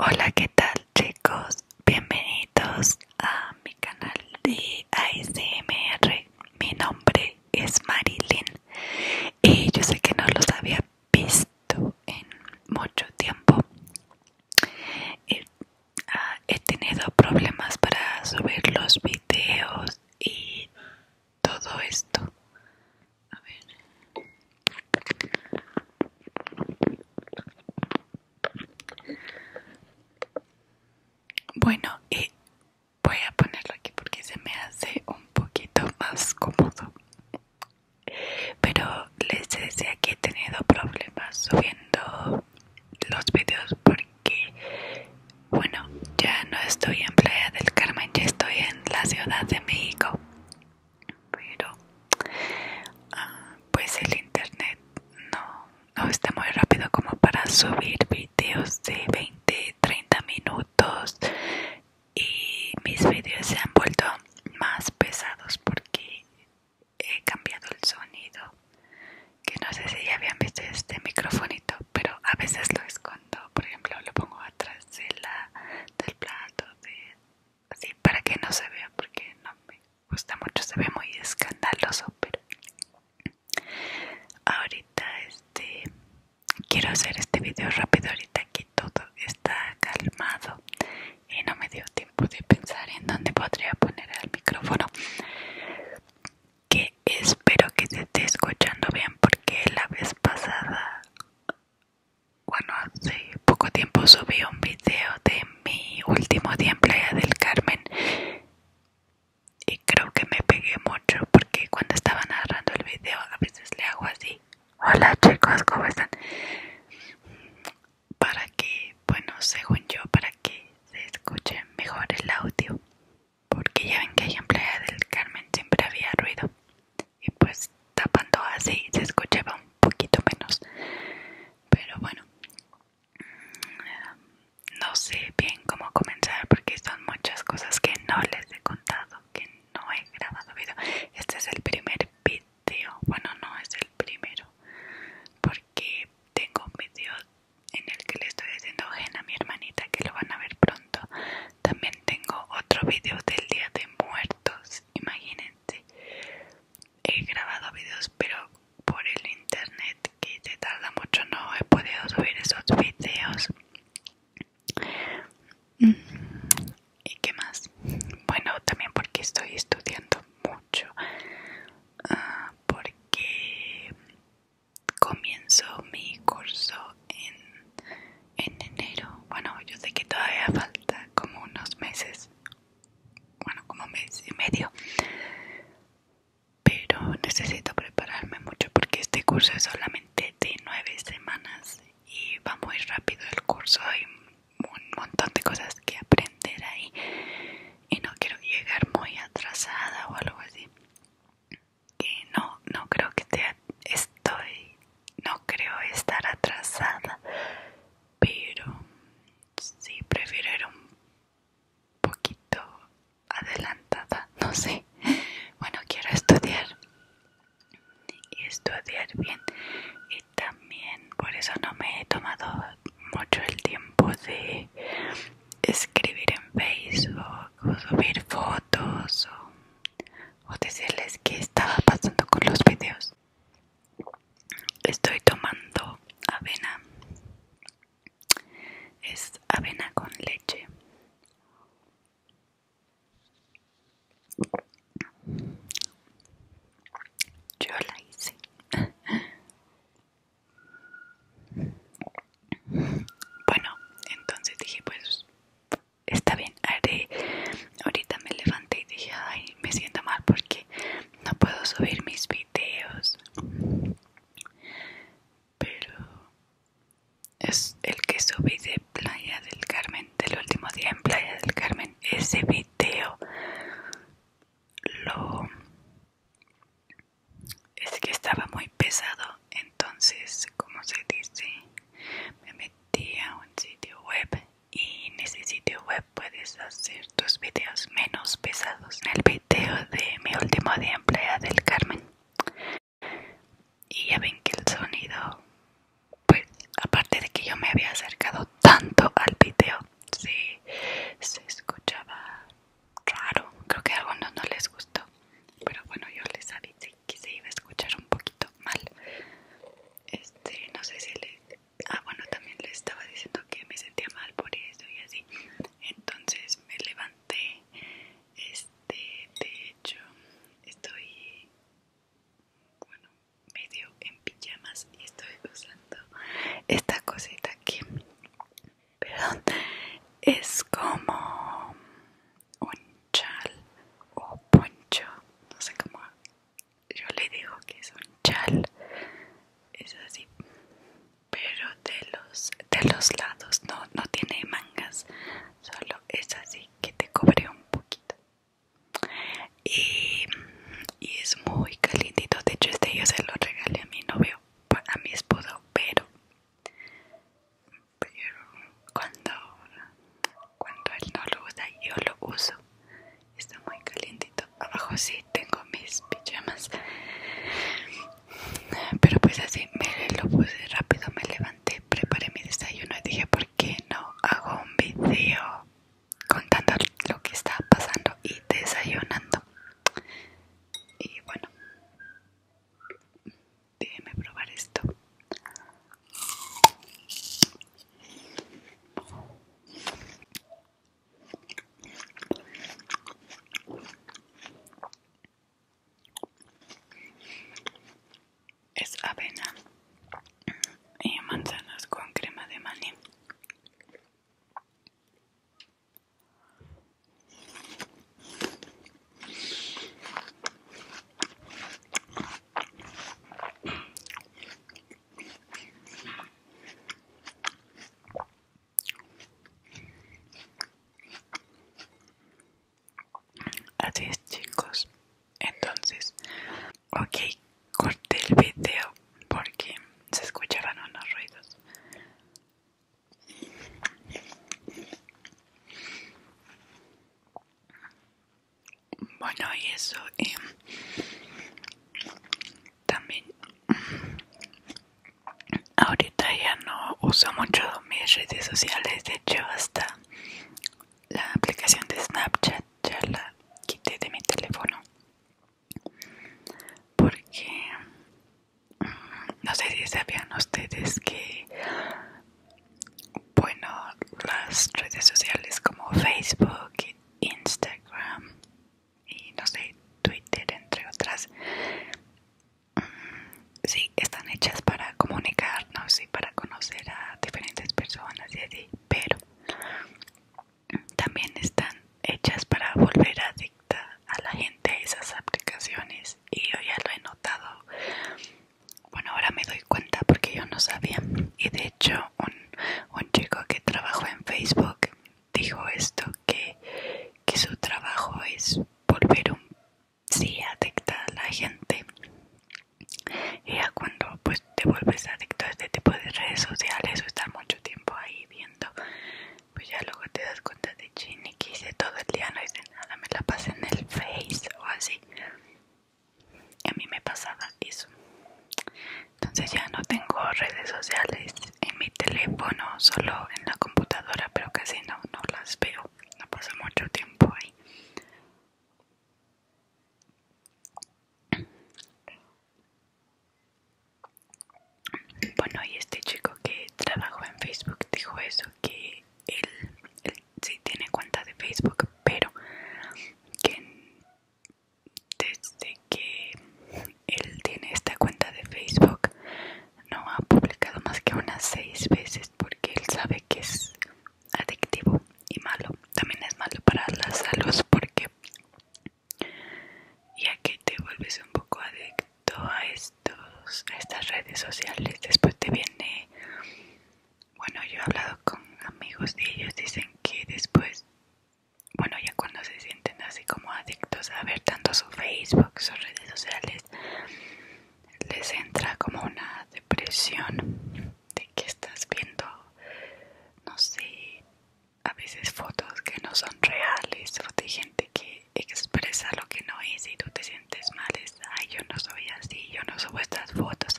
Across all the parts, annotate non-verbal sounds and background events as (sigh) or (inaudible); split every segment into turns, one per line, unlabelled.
Hola, ¿qué tal chicos? Bienvenidos a mi canal de ASMR. Mi nombre es Marilyn y yo sé que no lo sabía, visto en mucho tiempo. Ah, he, tenido problemas para subir los videos y todo esto. A ver. Bueno, y voy a ponerlo aquí porque se me hace un poquito más cómodo pero les decía que he tenido problemas subiendo los vídeos porque bueno ya no estoy en Playa del Carmen ya estoy en la Ciudad de México pero ah, pues el internet no no está muy rápido como para subir vídeos de 20 30 minutos y mis vídeos se han vuelto más pesados porque he cambiado el sonido que no sé si ya habían visto este microfonito pero a veces lo escondo por ejemplo lo pongo atrás de la, del plato de, así para que no se vea porque no me gusta mucho se ve muy escandaloso pero ahorita este quiero hacer este video rápido ahorita que todo está calmado y no me dio tiempo de pensar en dónde podría poner el micrófono que espero que se esté escuchando bien porque la vez pasada bueno hace poco tiempo subí un video de mi último día en playa del carmen y creo que me pegué mucho porque cuando estaba narrando el video a veces le hago así Hola chicos, ¿cómo están? Para que, bueno, según yo, para que se escuche mejor el audio. Porque ya ven que en Playa del Carmen siempre había ruido. Y pues tapando así se escuchaba un poquito menos. Pero bueno, no sé bien cómo comenzar porque son muchas cosas que no les he contado, no he grabado video. Este es el primer video. Bueno, no es el primero. Porque tengo un video en el que le estoy diciendo a mi hermanita que lo van a ver pronto. También tengo otro video del Día de Muertos. Imagínense. He grabado videos pero por el internet que se tarda mucho no he podido subir esos videos ¿Y qué más? Bueno, también porque estoy estudiando mucho, ah, porque comienzo mi curso en, en enero. Bueno, yo sé que todavía falta como unos meses, bueno, como mes y medio, pero necesito prepararme mucho porque este curso es solamente de nueve semanas y va muy rápido el curso hay un montón de cosas que aprender ahí y no quiero llegar muy atrasada o algo así que no no creo que te estoy no creo estar atrasada pero sí prefiero ir un poquito adelantada no sé bueno quiero estudiar y estudiar bien y también por eso no me he tomado mucho el tiempo de escribir en Facebook o subir fotos o, o decirles qué estaba pasando con los videos estoy tomando avena es avena con leche yo la hice. Bueno, entonces dije, pues está bien, haré. Ahorita me levanté y dije, ay, me siento mal porque no puedo subir mis videos pero es el que subí de Playa del Carmen, del último día en Playa del Carmen. Ese video lo... es que estaba muy pesado, entonces, como se dice, me metí a un sitio web y en ese sitio web puedes hacer tus videos menos pesados. En el video de mi último día en Playa del Carmen y ya ven que el sonido, pues aparte de que yo me había acercado tanto al video, sí, se escuchaba raro. Creo que a algunos no les gustó, pero bueno, yo les avisé que se iba a escuchar un poquito mal. Este, no sé si le... Ah, bueno, también les estaba diciendo que me sentía mal por eso y así. Entonces me levanté este, de hecho, estoy, bueno, medio en pijamas y estoy usando esta cosita aquí. Perdón, es como un chal o poncho, no sé cómo. Yo le digo que es un chal, es así, pero de los de los lados no no tiene mangas, solo es así que te cobré un poquito y, es muy calentito de hecho este yo se lo regalé a mi novio a mi esposo pero pero cuando cuando él no lo usa yo lo uso está muy calentito abajo sí tengo mis pijamas pero pues así me lo puse rápido me levanté preparé mi desayuno y dije, ¿por qué no hago un video contando lo que está pasando y desayunando? Y bueno, déjeme probar esto es avena y manzanas con crema de maní Así es chicos, entonces, ok, corté el video porque se escuchaban unos ruidos. Bueno, y eso eh, también ahorita ya no uso mucho mis redes sociales de hecho hasta la aplicación de snapchat ya la quité de mi teléfono porque mm, no sé si sabían ustedes que bueno las redes sociales como facebook instagram y no sé twitter entre otras sí, están hechas para comunicarnos y para conocer a diferentes personas y así, pero también están hechas para volver adicta a la gente a esas aplicaciones y yo ya lo he notado. Bueno, ahora me doy cuenta porque yo no sabía y de hecho un, un chico que trabajó en Facebook dijo esto que, que su trabajo es volver un si adicta a la gente y ya cuando pues te vuelves adicto a este tipo de redes sociales o estar mucho tiempo ahí viendo pues ya luego te das cuenta de chini que hice todo el día no hice nada me la pasé en el face o así a mí me pasaba eso entonces ya no tengo redes sociales en mi teléfono solo en la computadora, pero casi no, no las veo. No pasa mucho tiempo ahí. Bueno, y este chico que trabajó en Facebook dijo eso, que él, él sí tiene cuenta de Facebook, pero que desde que él tiene esta cuenta de Facebook no ha publicado más que unas seis veces porque él sabe que es adictivo y malo. También es malo para la salud porque ya que te vuelves un poco adicto a estos a estas redes sociales, después te viene bueno, yo he hablado con amigos de ellos, dicen que después, bueno, ya cuando se sienten así como adictos a ver tanto su Facebook, sus redes sociales, les entra como una depresión de que estás viendo, no sé, a veces fotos que no son reales, o de gente que expresa lo que no es y tú te sientes mal, es, ay, yo no soy así, yo no subo estas fotos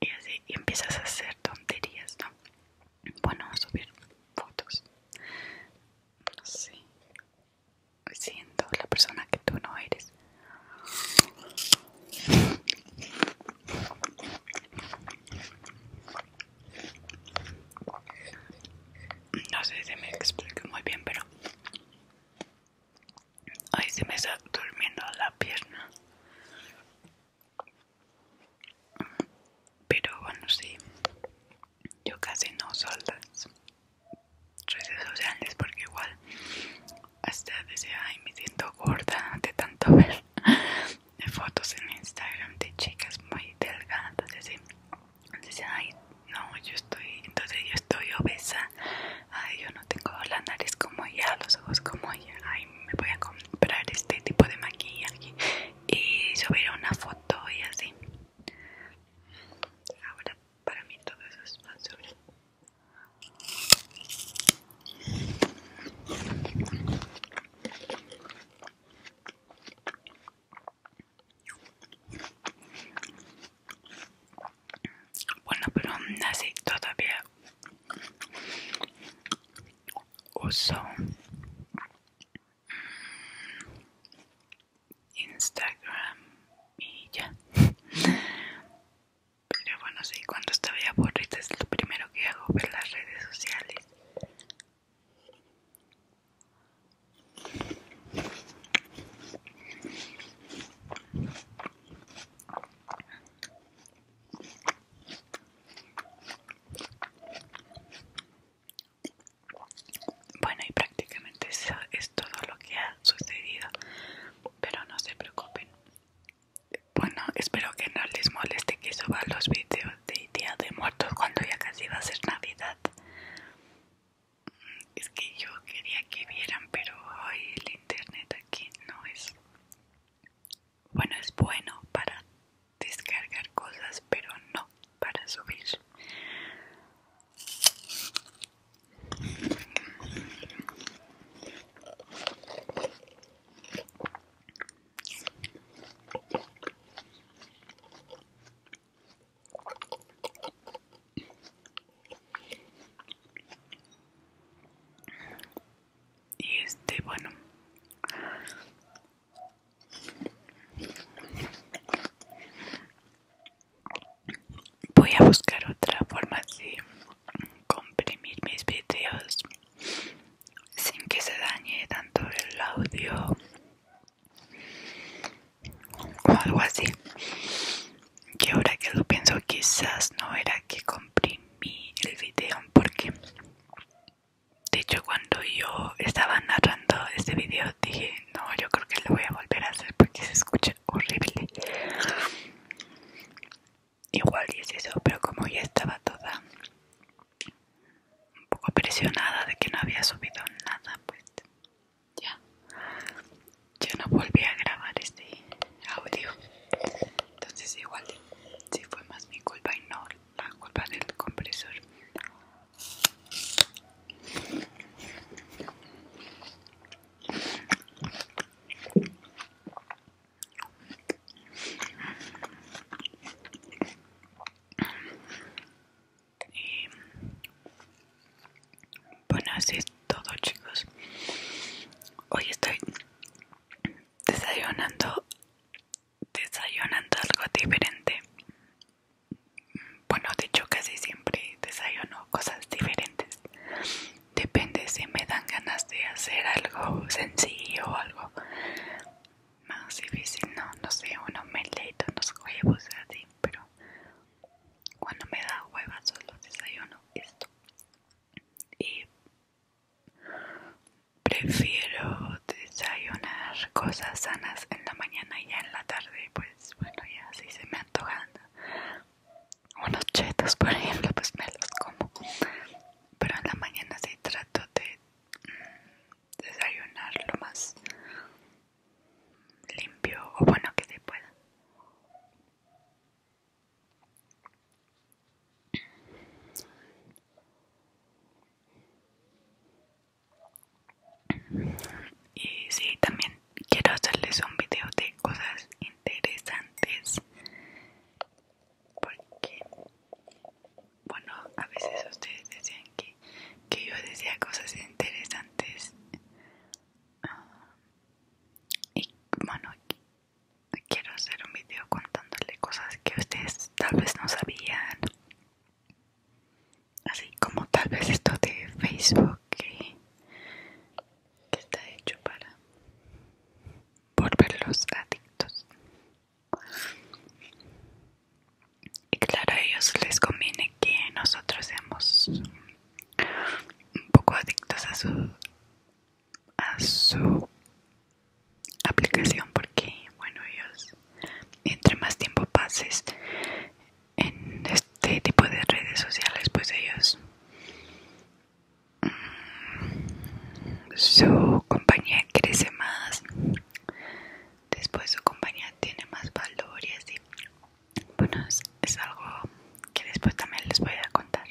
y así empiezas a hacer tonterías, ¿no? Bueno, subir fotos, no sé, Siento la persona que tú no eres. No sé si me explico muy bien, pero ahí se me está durmiendo la pierna. Pero bueno, sí, yo casi no uso las redes sociales porque igual hasta decía ay me siento gorda de tanto ver de fotos en Instagram de chicas muy delgadas no yo estoy entonces yo estoy obesa yo no tengo la nariz como ella los ojos como ella ay me voy a comprar este tipo de maquillaje y subir una foto y así Ahora para mí todo eso es sobre. Bueno, pero así todavía uso mm, Instagram y ya. Pero bueno, sí, cuando estoy aburrida es lo primero que hago, ver las redes sociales. Bueno, y prácticamente eso es todo lo que ha sucedido. Pero no se preocupen. Bueno, espero que no les moleste que suba los videos de Día de Muertos cuando ya casi va a ser Navidad. Es que yo quería que vieran, pero hoy el internet aquí no es. Bueno, es bueno para descargar cosas, pero no para subir. Y este, bueno, Voy a buscar otra forma de comprimir mis videos sin que se dañe tanto el audio o algo así. Que ahora que lo pienso, quizás no era que comprimí el video porque de hecho, cuando yo estaba narrando este video, dije, no, yo creo que lo voy a volver a hacer porque se escucha horrible. Igual y es eso, pero como ya estaba toda un poco presionada de que no había subido nada, pues ya, yo no volví a grabar este audio. Entonces igual sí fue más mi culpa y no la culpa del compresor bueno, así es todo, chicos. Hoy estoy desayunando desayunando algo diferente. Bueno, de hecho casi siempre desayuno cosas diferentes. Depende si me dan ganas de hacer algo sencillo o algo más difícil, no, no sé, uno me leita unos huevos así, pero cuando me da hueva solo desayuno esto. Y prefiero desayunar cosas sanas en la mañana y ya en la tarde, pues bueno, ya si se me antojan unos chetos, (laughs) por ejemplo, pues me los como. Pero en la mañana sí trato de mm, desayunar lo más limpio o bueno que se pueda. Y sí, también quiero hacerles un video de cosas interesantes. Porque, bueno, a veces ustedes decían que, que yo decía cosas interesantes. Ah, y bueno, quiero hacer un video contándole cosas que ustedes tal vez no sabían Así como tal vez esto de Facebook que, está hecho para volverlos adictos. Y claro, a ellos les conviene que nosotros seamos un poco adictos a su, a su aplicación porque bueno ellos entre más tiempo pases en este tipo de redes sociales pues ellos mm, su compañía crece más después su compañía tiene más valor y así bueno es, es algo que después también les voy a contar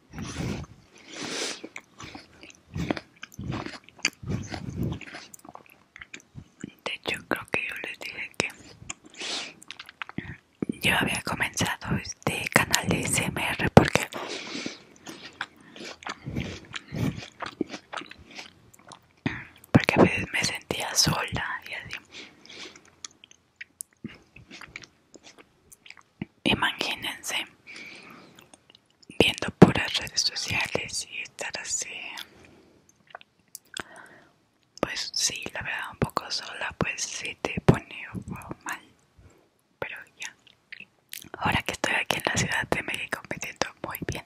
de hecho, creo que yo les dije que yo había comenzado este canal de SMR porque porque me sentía sola y así Imagínense viendo por las redes sociales y estar así. Pues sí, la verdad, un poco sola, pues sí te pone mal. Pero ya, ahora que estoy aquí en la Ciudad de México me siento muy bien.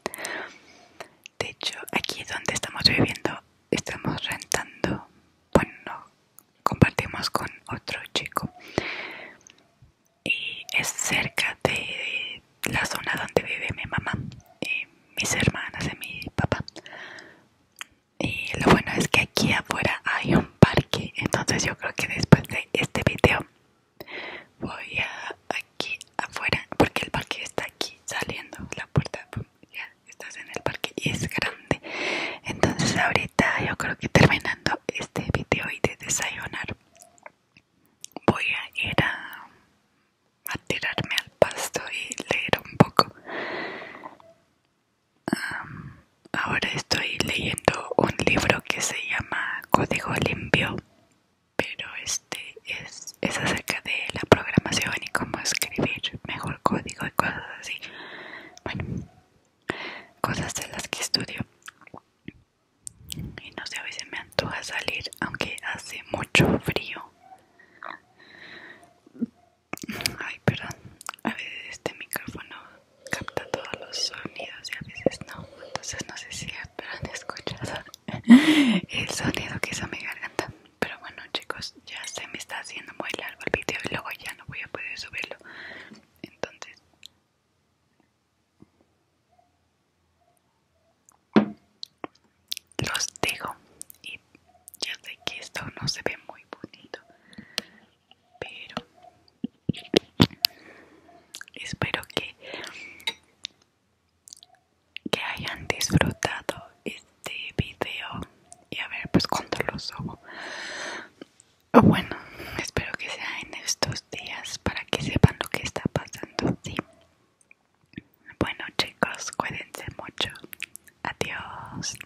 De hecho, aquí donde estamos viviendo, estamos rentando, bueno, compartimos con otro chico y eh, es cerca de la zona donde vive mi mamá y eh, mis hermanas y mi papá y lo bueno es que aquí afuera hay un parque entonces yo creo que después de este vídeo voy aquí afuera porque el parque está aquí saliendo la puerta ya estás en el parque y es grande entonces ahorita yo creo que terminando este video y de desayunar voy a ir a, tirarme al pasto y leer un poco. ahora estoy leyendo un libro que se llama Código Limpio, pero este es, es acerca de la programación y cómo escribir mejor código y cosas así. Bueno, cosas de las que estudio y no sé, a veces me antoja salir aunque hace mucho frío ay perdón a veces este micrófono capta todos los sonidos y a veces no entonces no sé si han escuchado (laughs) el sonido que hizo mi garganta pero bueno chicos ya se me está haciendo muy largo el video y luego ya no voy a poder subirlo entonces los digo y ya sé que esto no se ve muy bonito pero espero que que hayan disfrutado este video y a ver pues cuando lo subo Oh, bueno, espero que sea en estos días para que sepan lo que está pasando, ¿sí? Bueno chicos, cuídense mucho. Adiós.